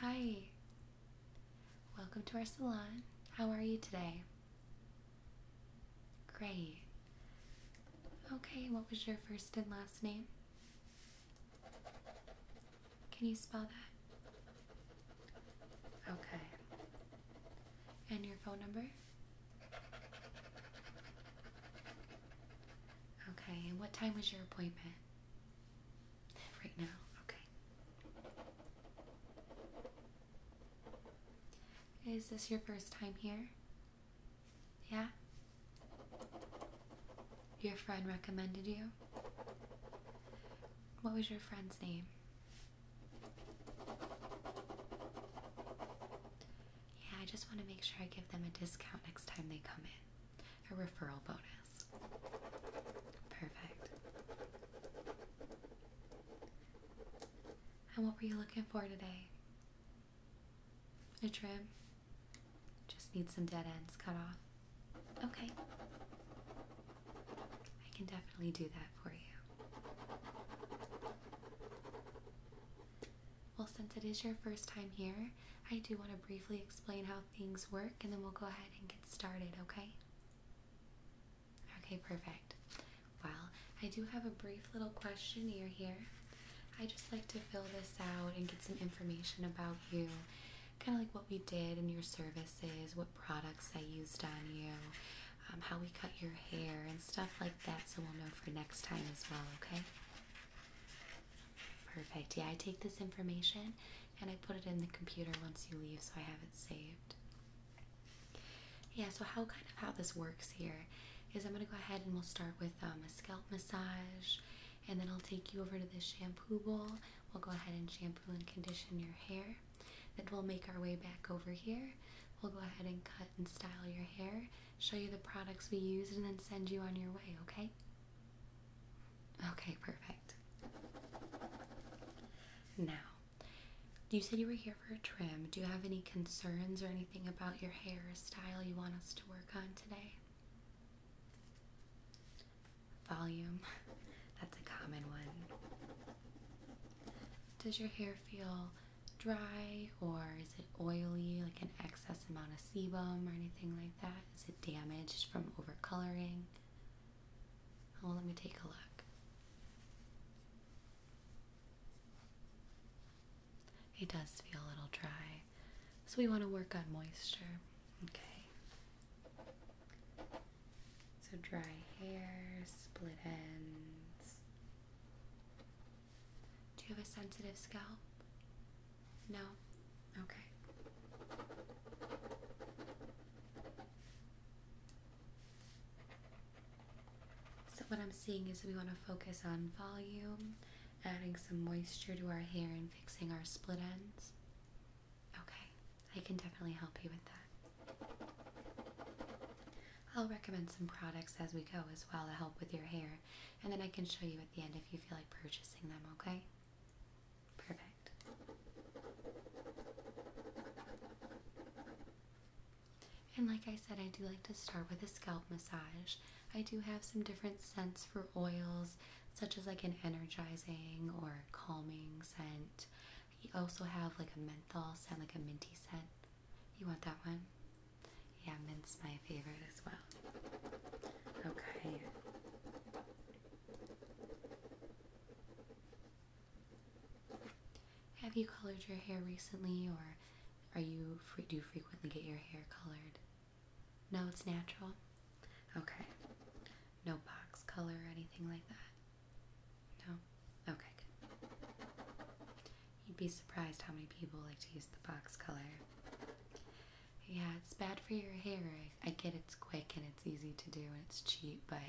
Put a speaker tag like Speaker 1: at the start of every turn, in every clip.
Speaker 1: Hi, welcome to our salon. How are you today? Great. Okay, what was your first and last name? Can you spell that? Okay. And your phone number? Okay, and what time was your appointment? Right now, okay. Is this your first time here? Yeah? Your friend recommended you? What was your friend's name? Yeah, I just want to make sure I give them a discount next time they come in. A referral bonus. Perfect. And what were you looking for today? A trim? Just need some dead ends cut off. Okay. I can definitely do that for you. Well, since it is your first time here, I do want to briefly explain how things work and then we'll go ahead and get started, okay? Okay, perfect. Well, I do have a brief little questionnaire here. I just like to fill this out and get some information about you, kind of like what we did in your services, what products I used on you, um, how we cut your hair, and stuff like that, so we'll know for next time as well, okay? Perfect. Yeah, I take this information and I put it in the computer once you leave so I have it saved. Yeah, so how kind of how this works here is I'm going to go ahead and we'll start with um, a scalp massage and then I'll take you over to the shampoo bowl. We'll go ahead and shampoo and condition your hair. Then we'll make our way back over here. We'll go ahead and cut and style your hair show you the products we use, and then send you on your way, okay? Okay, perfect. Now, you said you were here for a trim. Do you have any concerns or anything about your hair style you want us to work on today? Volume. That's a common one. Does your hair feel dry or is it oily, like an excess amount of sebum or anything like that? Is it damaged from overcoloring? Well, oh, let me take a look. It does feel a little dry, so we want to work on moisture. Okay. So dry hair, split ends. Do you have a sensitive scalp? No? Okay. So, what I'm seeing is we want to focus on volume, adding some moisture to our hair, and fixing our split ends. Okay, I can definitely help you with that. I'll recommend some products as we go as well to help with your hair and then I can show you at the end if you feel like purchasing them, okay? Perfect. And like I said, I do like to start with a scalp massage. I do have some different scents for oils, such as like an energizing or calming scent. You also have like a menthol scent, like a minty scent. You want that one? Yeah, mint's my favorite as well. Okay. Have you colored your hair recently, or are you do you frequently get your hair colored? No, it's natural. Okay. No box color or anything like that. No. Okay. Good. You'd be surprised how many people like to use the box color. Yeah, it's bad for your hair. I, get it's quick and it's easy to do and it's cheap, but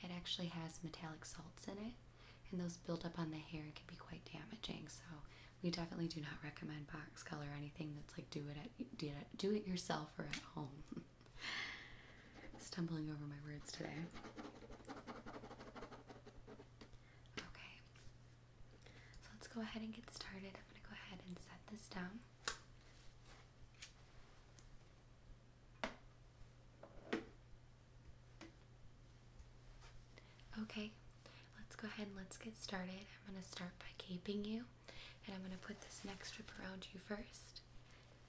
Speaker 1: it actually has metallic salts in it, and those build up on the hair and can be quite damaging. So we definitely do not recommend box color or anything that's like do it at do it, do it yourself or at home. Stumbling over my words today. Okay, so let's go ahead and get started. I'm going to go ahead and set this down. Okay, let's go ahead and let's get started. I'm going to start by caping you and I'm going to put this next strip around you first.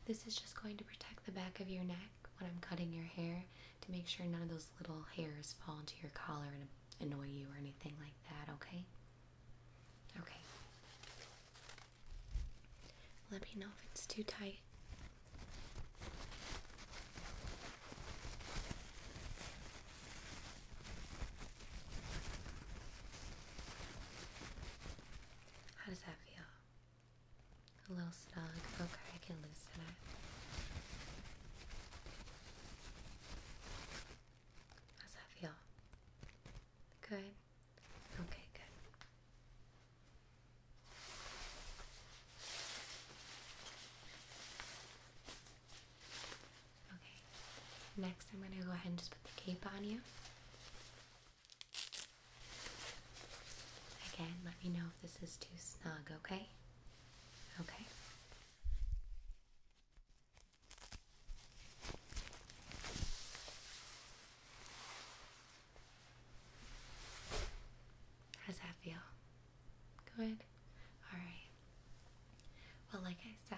Speaker 1: This is just going to protect the back of your neck when I'm cutting your hair to make sure none of those little hairs fall into your collar and annoy you or anything like that, okay? Okay. Let me know if it's too tight. How does that feel? A little snug. Okay, I can loosen it. How's that feel? Good? Okay, good. Okay, next I'm going to go ahead and just put the cape on you. Again, let me know if this is too snug, okay? Okay. How's that feel? Good? Alright. Well, like I said,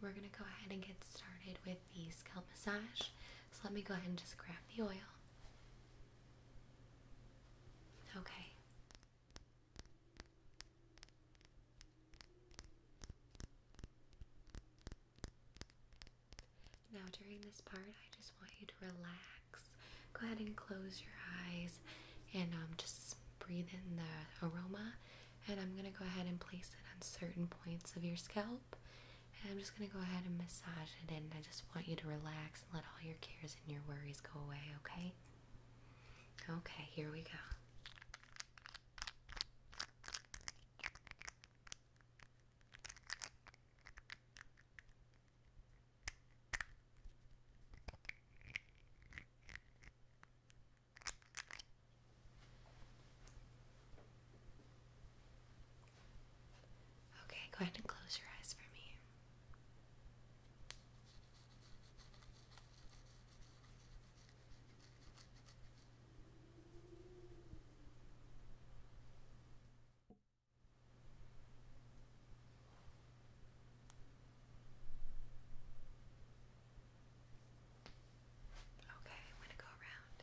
Speaker 1: we're going to go ahead and get started with the scalp massage. So let me go ahead and just grab the oil. Okay. Now, during this part, I just want you to relax. Go ahead and close your eyes and um, just breathe in the aroma. And I'm going to go ahead and place it on certain points of your scalp. And I'm just going to go ahead and massage it in. I just want you to relax and let all your cares and your worries go away, okay? Okay, here we go. Okay, go ahead and close your eyes for me. Okay, I'm going to go around.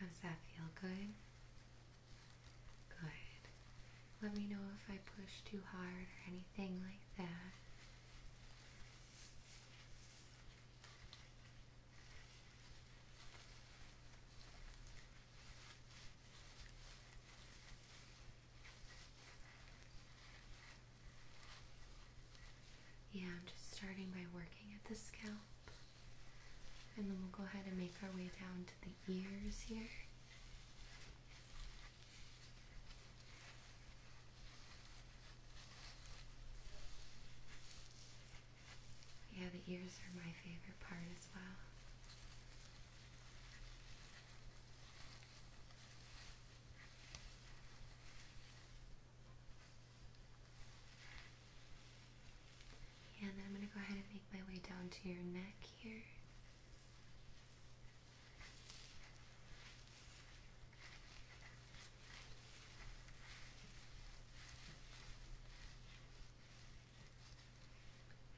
Speaker 1: Does that feel? Good? Good. Let me know if I push too hard or anything like that. Yeah, I'm just starting by working at the scalp. And then we'll go ahead and make our way down to the ears here. Yeah, the ears are my favorite part as well. And then I'm going to go ahead and make my way down to your neck here.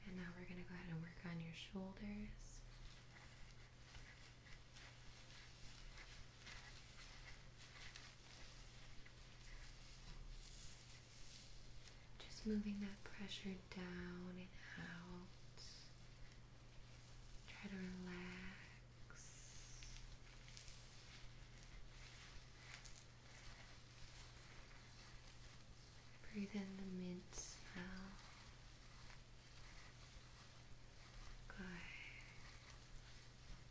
Speaker 1: And now we're going to go ahead and work on your shoulders. Just moving that pressure down and out. Try to relax. Breathe in the mint smell. Good.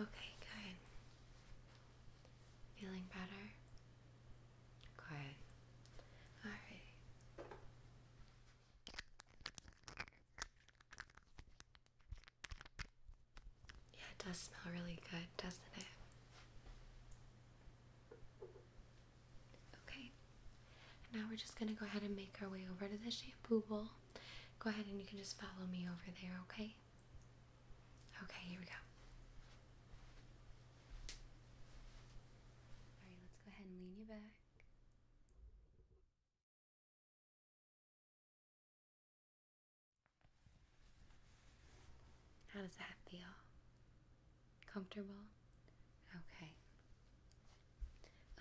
Speaker 1: Okay, good. Feeling better? Good. All right. Yeah, it does smell really good, doesn't it? Okay, now we're just gonna go ahead and make our way over to the shampoo bowl. Go ahead and you can just follow me over there, okay? Okay, here we go. Alright, let's go ahead and lean you back. How does that feel? Comfortable? Okay.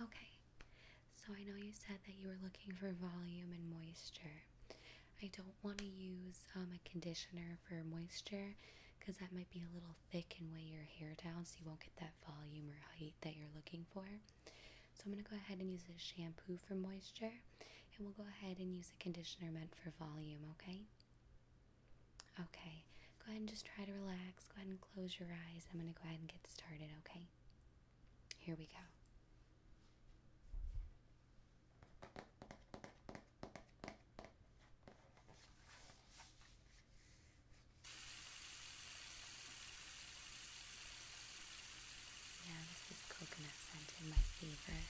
Speaker 1: Okay. So I know you said that you were looking for volume and moisture. I don't want to use um, a conditioner for moisture because that might be a little thick and weigh your hair down so you won't get that volume or height that you're looking for. So I'm going to go ahead and use a shampoo for moisture and we'll go ahead and use a conditioner meant for volume, okay? Okay, go ahead and just try to relax. Go ahead and close your eyes. I'm going to go ahead and get started, okay? Here we go. Yeah, this is coconut scented, my favorite.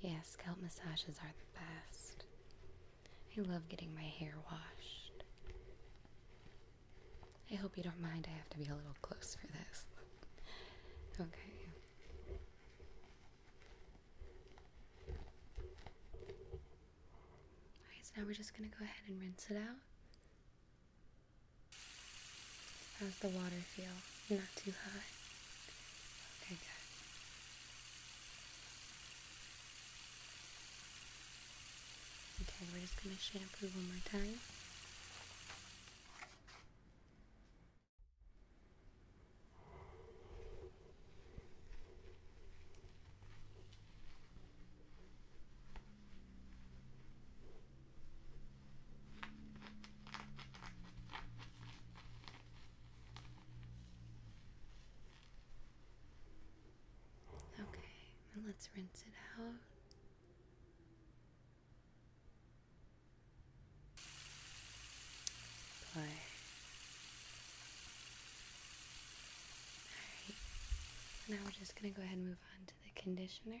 Speaker 1: Yes, scalp massages are the best. I love getting my hair washed. I hope you don't mind, I have to be a little close for this. okay. so now we're just gonna go ahead and rinse it out. How's the water feel? Not too hot? Okay, Okay, we're just going to shampoo one more time. Okay, and let's rinse it out. Good. All right. Now we're just going to go ahead and move on to the conditioner.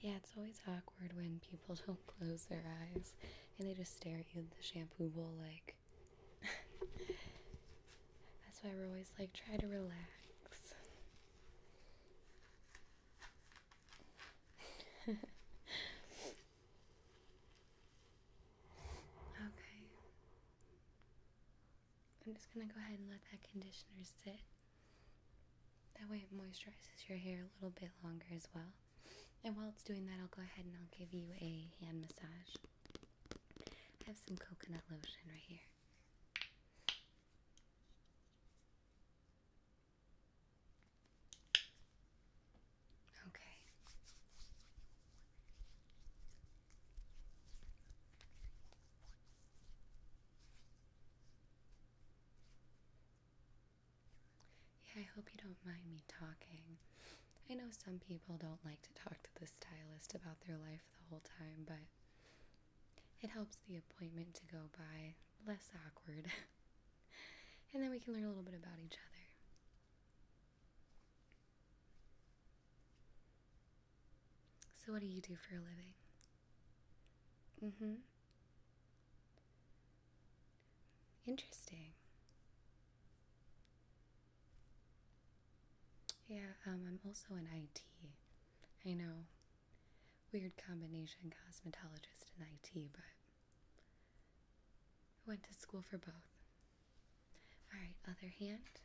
Speaker 1: Yeah, it's always awkward when people don't close their eyes and they just stare at you in the shampoo bowl like That's why we're always like try to relax. okay. I'm just going to go ahead and let that conditioner sit. That way it moisturizes your hair a little bit longer as well. And while it's doing that, I'll go ahead and I'll give you a hand massage. I have some coconut lotion right here. Okay. Yeah, I hope you don't mind me talking. I know some people don't like to talk to the stylist about their life the whole time, but it helps the appointment to go by less awkward. and then we can learn a little bit about each other. So, what do you do for a living? Mm hmm. Interesting. Yeah, um, I'm also an IT. I know. Weird combination cosmetologist and IT, but I went to school for both. All right, other hand.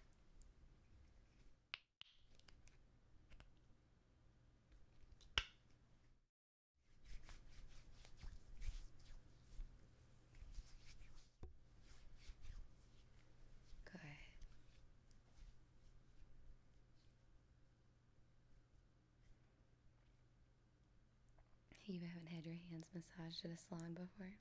Speaker 1: Good. You haven't had your hands massaged in a salon before?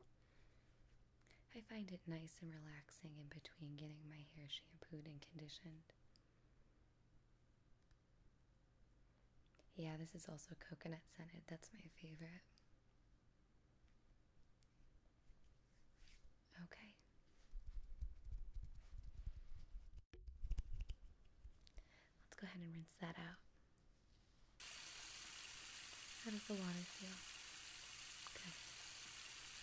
Speaker 1: I find it nice and relaxing in between getting my hair shampooed and conditioned. Yeah, this is also coconut scented. That's my favorite. Okay. Let's go ahead and rinse that out. How does the water feel? Okay.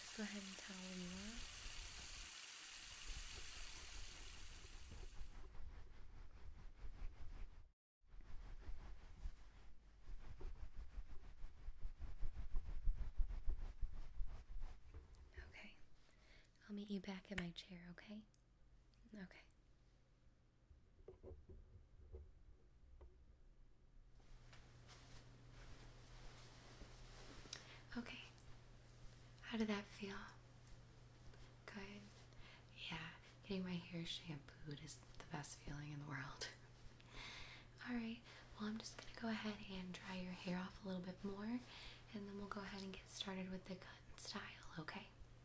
Speaker 1: Just go ahead and towel you Okay, I'll meet you back in my chair, okay? Okay. Okay. How did that feel? Good. Yeah, getting my hair shampooed is the best feeling in the world. Alright, well, I'm just gonna go ahead and dry your hair off a little bit more, and then we'll go ahead and get started with the cut and style, okay?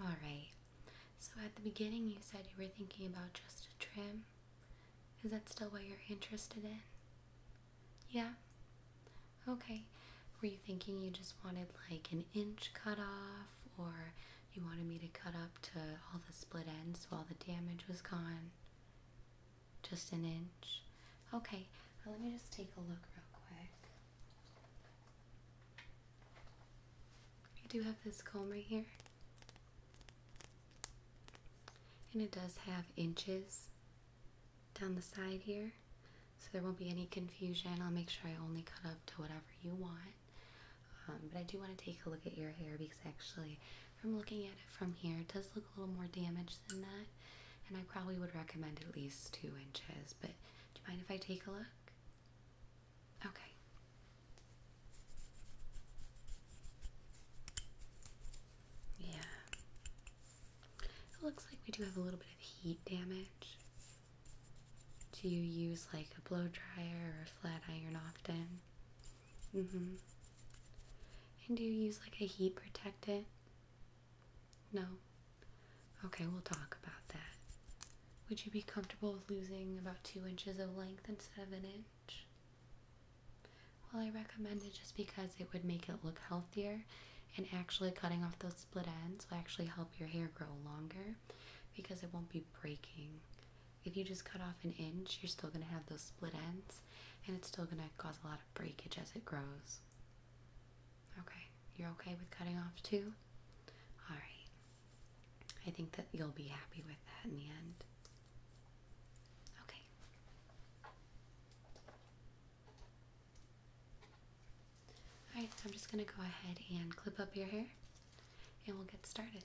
Speaker 1: All right. So at the beginning, you said you were thinking about just a trim. Is that still what you're interested in? Yeah. Okay. Were you thinking you just wanted like an inch cut off or you wanted me to cut up to all the split ends while the damage was gone. Just an inch. Okay, let me just take a look real quick. I do have this comb right here. And it does have inches down the side here. So there won't be any confusion. I'll make sure I only cut up to whatever you want. Um, but I do want to take a look at your hair because actually, from looking at it from here, it does look a little more damaged than that. And I probably would recommend at least two inches. But do you mind if I take a look? Okay. Yeah. It looks like we do have a little bit of heat damage. Do you use like a blow dryer or a flat iron often? Mm hmm. And do you use like a heat protectant? No. Okay, we'll talk about that. Would you be comfortable with losing about two inches of length instead of an inch? Well, I recommend it just because it would make it look healthier and actually cutting off those split ends will actually help your hair grow longer because it won't be breaking if you just cut off an inch, you're still going to have those split ends and it's still going to cause a lot of breakage as it grows. Okay, you're okay with cutting off two? Alright. I think that you'll be happy with that in the end. Okay. Alright, so I'm just going to go ahead and clip up your hair and we'll get started.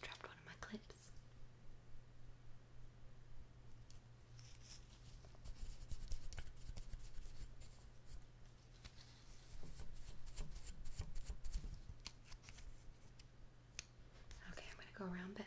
Speaker 1: Dropped one of my clips. Okay, I'm going to go around back.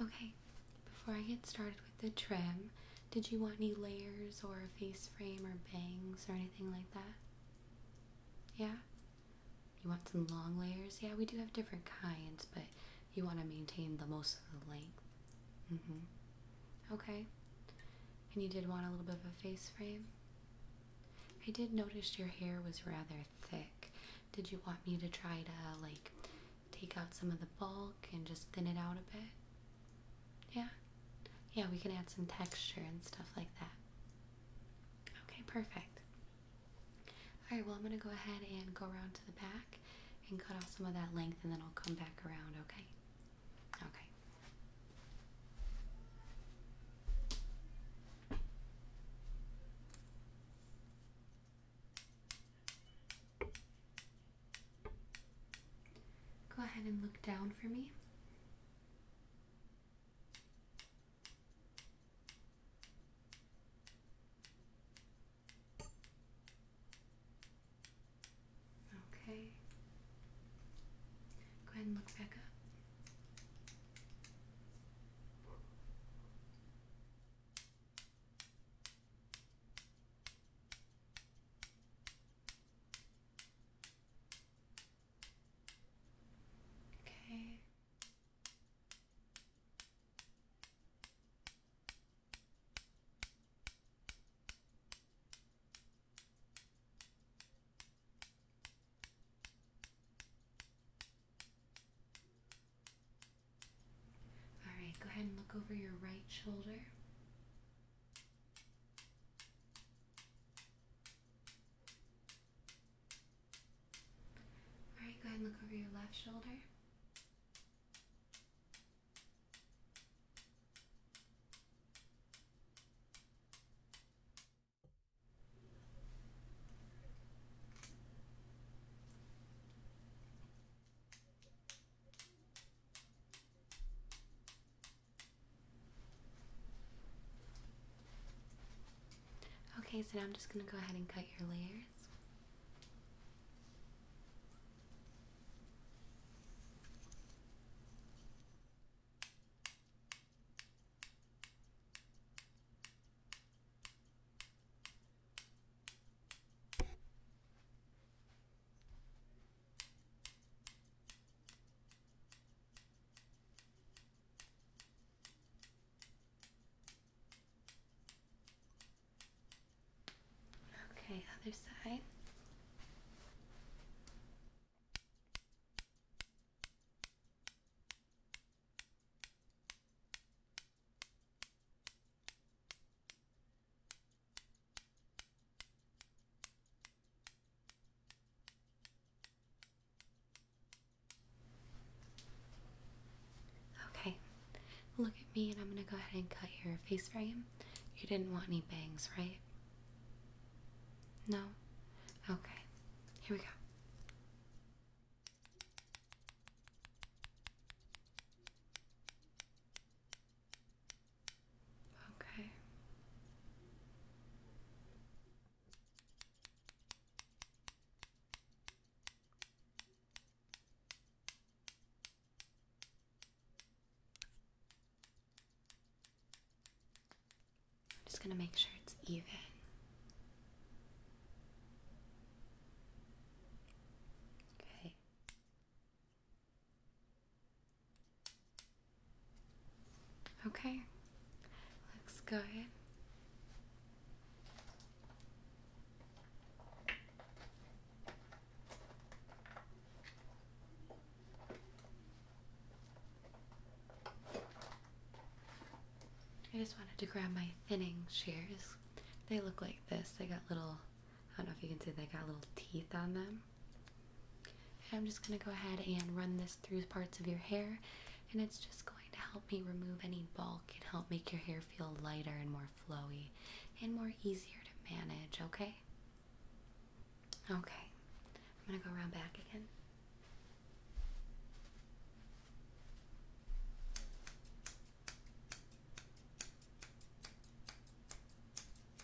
Speaker 1: Okay, before I get started with the trim. Did you want any layers or a face frame or bangs or anything like that? Yeah? You want some long layers? Yeah, we do have different kinds, but you want to maintain the most of the length. Mm hmm. Okay. And you did want a little bit of a face frame? I did notice your hair was rather thick. Did you want me to try to, like, take out some of the bulk? and just thin it out a bit. Yeah. Yeah, we can add some texture and stuff like that. Okay, perfect. Alright, well, I'm going to go ahead and go around to the back and cut off some of that length and then I'll come back around, okay? Okay. Go ahead and look down for me. Okay. Go ahead and look back up. Okay. All right, go ahead and look over your right shoulder. All right, go ahead and look over your left shoulder. Okay, so I'm just going to go ahead and cut your layers. Okay, other side. Okay, look at me and I'm gonna go ahead and cut your face frame. You didn't want any bangs, right? No? Okay, here we go. Okay. just going to make sure it's even. Okay. Okay, looks good. I just wanted to grab my thinning shears. They look like this. They got little I don't know if you can see they got little teeth on them. I'm just going to go ahead and run this through parts of your hair, and it's just going to help me remove any bulk and help make your hair feel lighter and more flowy and more easier to manage, okay? Okay, I'm going to go around back again.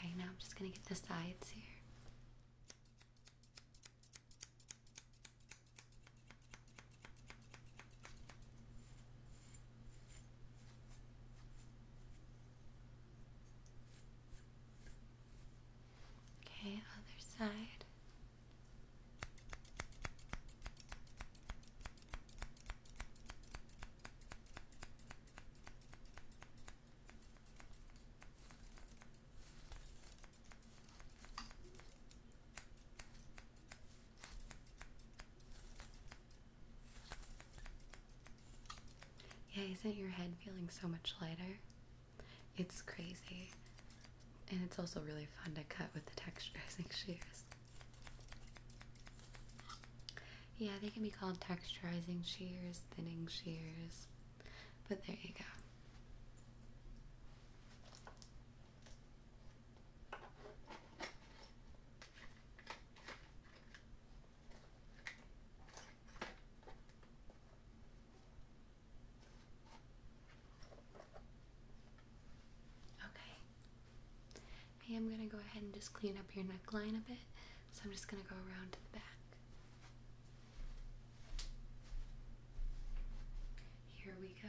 Speaker 1: Okay, now I'm just going to get the sides here. Okay, other side. Yeah, isn't your head feeling so much lighter? It's crazy. And it's also really fun to cut with the texturizing shears. Yeah, they can be called texturizing shears, thinning shears. But there you go. Okay. I am going to go ahead and just clean up your neckline a bit. So I'm just going to go around to the back. Here we go.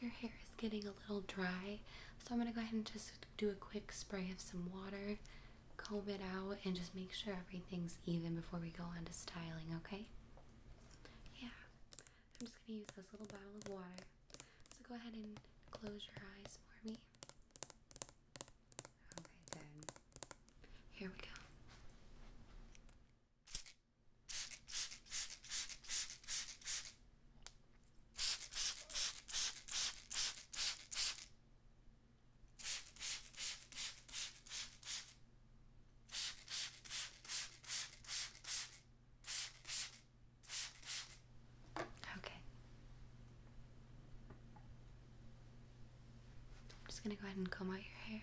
Speaker 1: your hair is getting a little dry, so I'm gonna go ahead and just do a quick spray of some water, comb it out, and just make sure everything's even before we go on to styling, okay? Yeah, I'm just gonna use this little bottle of water. So go ahead and close your eyes for me. Okay, good. Here we go. Okay. I'm just going to go ahead and comb out your hair.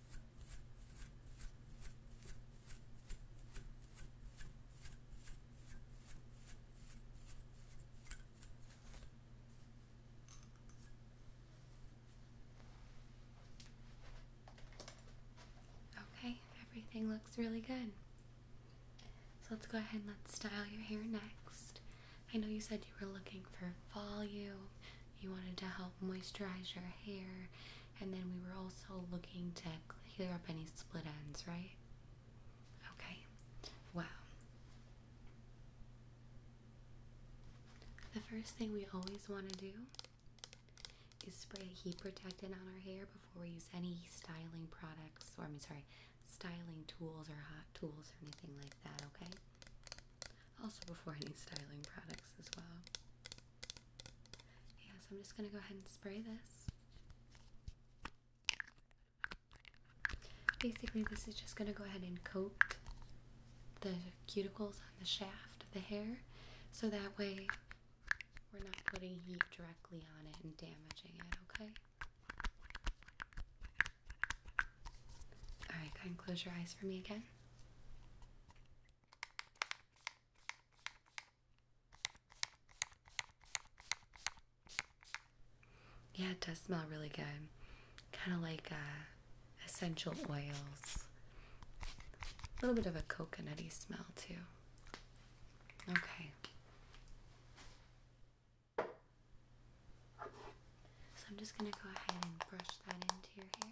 Speaker 1: Okay, everything looks really good. So let's go ahead and let's style your hair next. I know you said you were looking for volume you wanted to help moisturize your hair, and then we were also looking to clear up any split ends, right? Okay, wow. The first thing we always want to do is spray heat protectant on our hair before we use any styling products, or I mean, sorry, styling tools or hot tools or anything like that, okay? also before any styling products as well. Yeah, so I'm just going to go ahead and spray this. Basically, this is just going to go ahead and coat the cuticles on the shaft of the hair so that way we're not putting heat directly on it and damaging it, okay? Alright, Can ahead close your eyes for me again. Yeah, it does smell really good. Kind of like uh, essential oils. A little bit of a coconutty smell, too. Okay. So I'm just going to go ahead and brush that into your hair.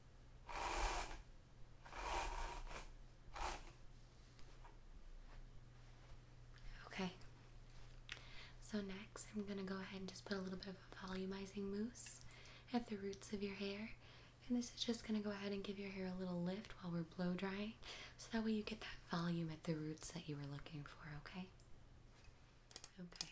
Speaker 1: Okay, so next I'm going to go ahead and just put a little bit of a volumizing mousse at the roots of your hair. And this is just going to go ahead and give your hair a little lift while we're blow drying so that way you get that volume at the roots that you were looking for, okay? Okay.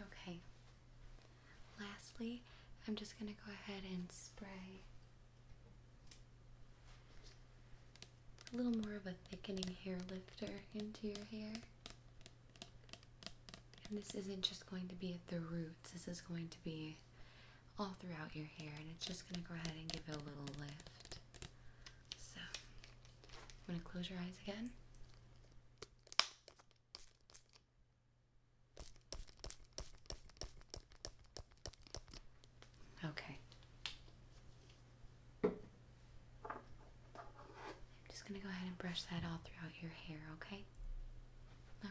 Speaker 1: Okay. Lastly, I'm just going to go ahead and spray a little more of a thickening hair lifter into your hair. And this isn't just going to be at the roots, this is going to be all throughout your hair, and it's just going to go ahead and give it a little lift. So, I'm going to close your eyes again. Okay. I'm just going to go ahead and brush that all throughout your hair, okay? Okay.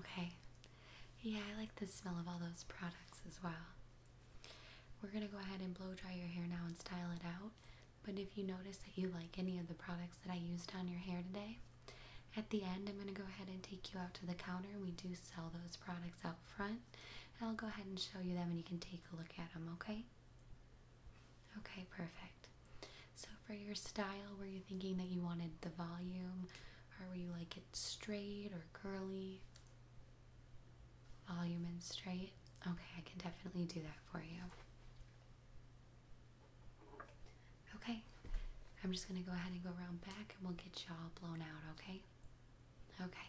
Speaker 1: Okay. Yeah, I like the smell of all those products as well. We're gonna go ahead and blow dry your hair now and style it out. But if you notice that you like any of the products that I used on your hair today, at the end I'm gonna go ahead and take you out to the counter. We do sell those products out front. And I'll go ahead and show you them and you can take a look at them, okay? Okay? perfect. So for your style, were you thinking that you wanted the volume or were you like it straight or curly? Volume and straight? Okay, I can definitely do that for you. Okay, I'm just gonna go ahead and go around back and we'll get y'all blown out, okay? Okay.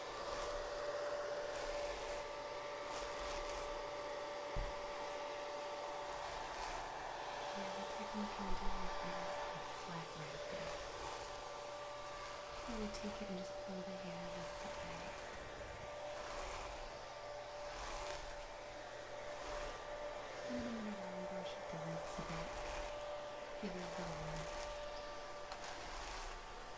Speaker 1: Yeah, the technique I'm doing is a flat right there. I'm going to take it and just pull the hair to the side. And I'm going to brush at the lips a bit, give it a little lift. And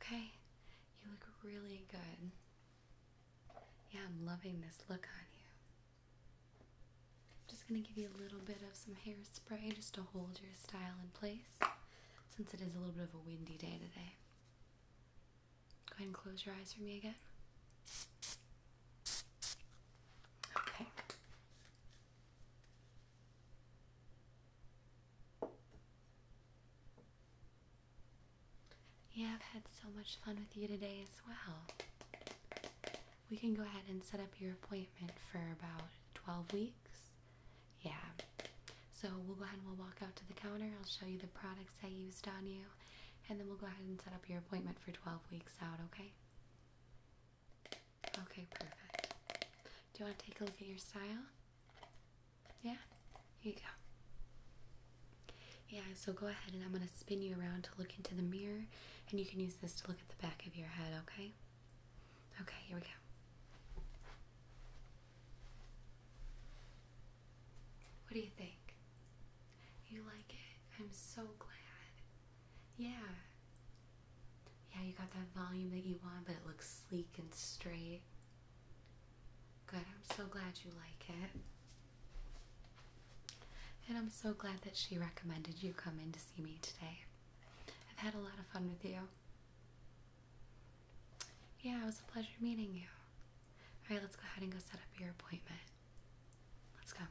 Speaker 1: Okay, you look really good. Yeah, I'm loving this look on you. I'm just going to give you a little bit of some hairspray just to hold your style in place since it is a little bit of a windy day today. Go ahead and close your eyes for me again. Okay. Yeah, I've had so much fun with you today as well. We can go ahead and set up your appointment for about 12 weeks. Yeah. So we'll go ahead and we'll walk out to the counter. I'll show you the products I used on you. And then we'll go ahead and set up your appointment for 12 weeks out, okay? Okay, perfect. Do you want to take a look at your style? Yeah, here you go. Yeah, so go ahead and I'm going to spin you around to look into the mirror, and you can use this to look at the back of your head, okay? Okay, here we go. What do you think? You like it? I'm so glad. Yeah. Yeah, you got that volume that you want, but it looks sleek and straight. Good. I'm so glad you like it. And I'm so glad that she recommended you come in to see me today. I've had a lot of fun with you. Yeah, it was a pleasure meeting you. All right, let's go ahead and go set up your appointment. Let's go.